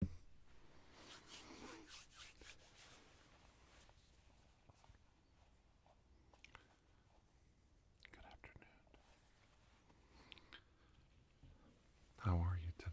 Good afternoon. How are you today?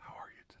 How are you today?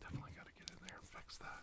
Definitely got to get in there and fix that.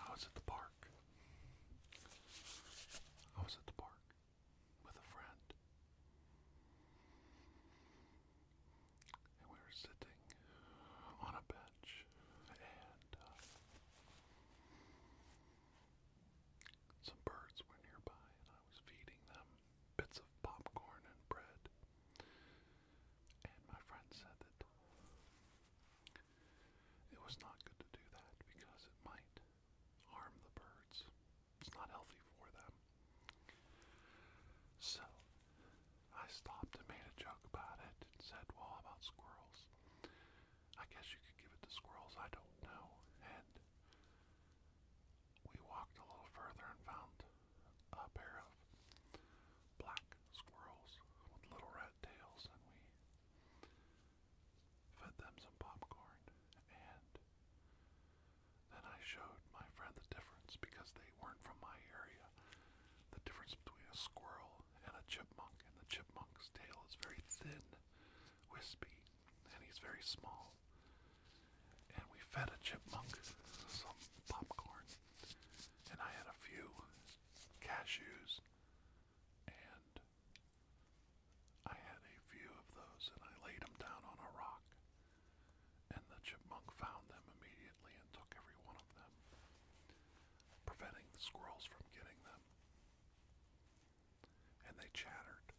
Oh, I was at the park I was at the park with a friend, and we were sitting on a bench, and uh, some birds were nearby, and I was feeding them bits of popcorn and bread. And my friend said that it was not good to do that because it might harm the birds. It's not healthy for them. So I stopped and made a joke about it and said, Well, about squirrels? I guess you could give it to squirrels, I don't know. And we walked a little further and found a pair of black squirrels with little red tails, and we fed them some popcorn, and then I showed my friend the difference because they weren't from my area. The difference between a squirrel and a chipmunk, and the chipmunk's tail is very thin, wispy, and he's very small. And we fed a chipmunk some popcorn, and I had a few cashews and I had a few of those and I laid them down on a rock. And the chipmunk found them immediately and took every one of them, preventing the squirrels from getting them. And they chattered.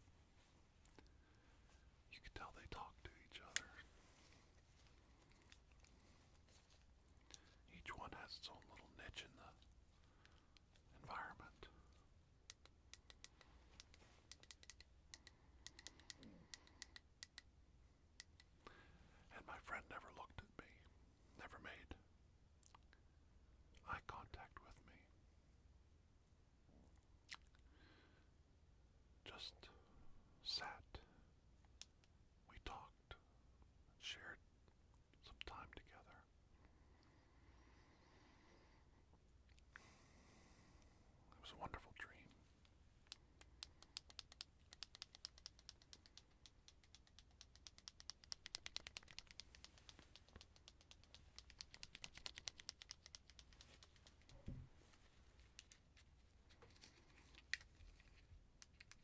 You could tell they talked to each other. Each one has its own little niche in the environment. And my friend never looked at me, never made eye contact with me. Just sat. We talked talked, shared some time together. It was a wonderful dream.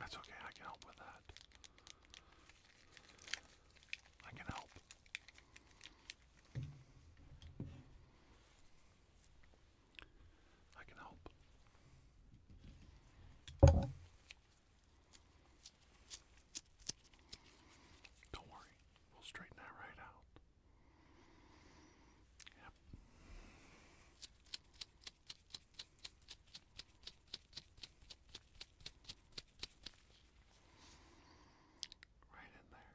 That's okay, I can help with that. I can help. I can help. Don't worry, we'll straighten that right out. Yep. Right in there.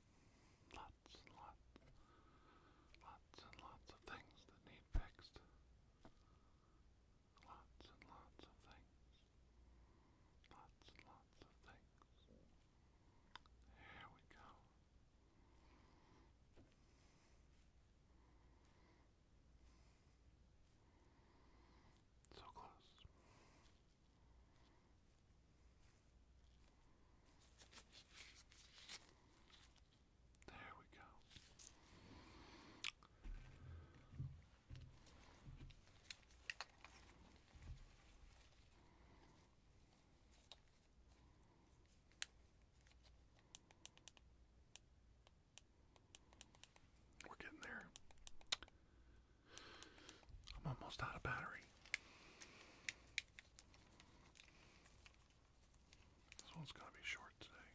Lots and lots, lots and lots of things that need fixed. Lots and lots of things. Lots and lots of things. Here we go. So close. There we go. We're getting there. I'm almost out of battery. This one's going to be short today.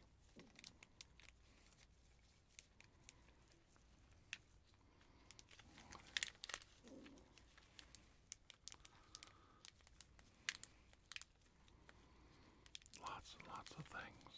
Lots and lots of things.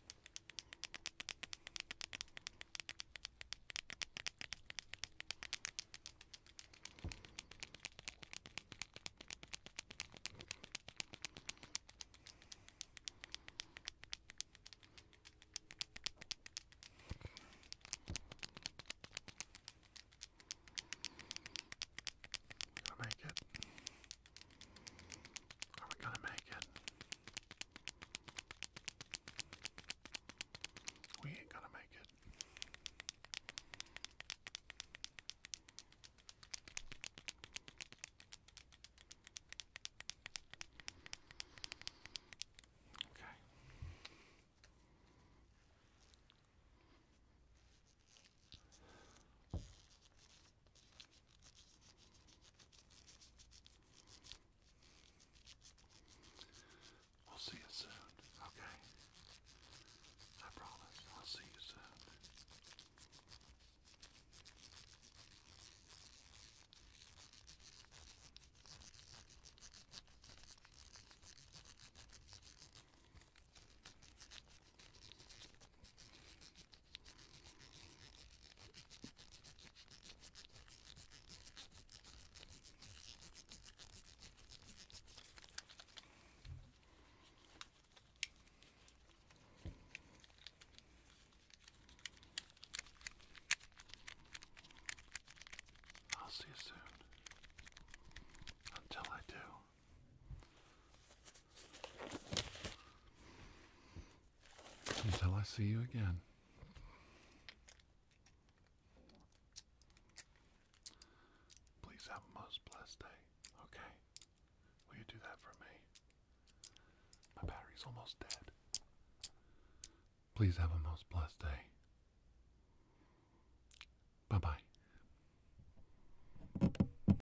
Gonna make it. Are we gonna make it? We ain't gonna make it. Okay. We'll see you soon, okay? I promise. I'll see you soon. I'll see you soon. Until I do. Until I see you again. Please have a most blessed day. Okay. Will you do that for me? My battery's almost dead. Please have a most blessed day. Bye bye.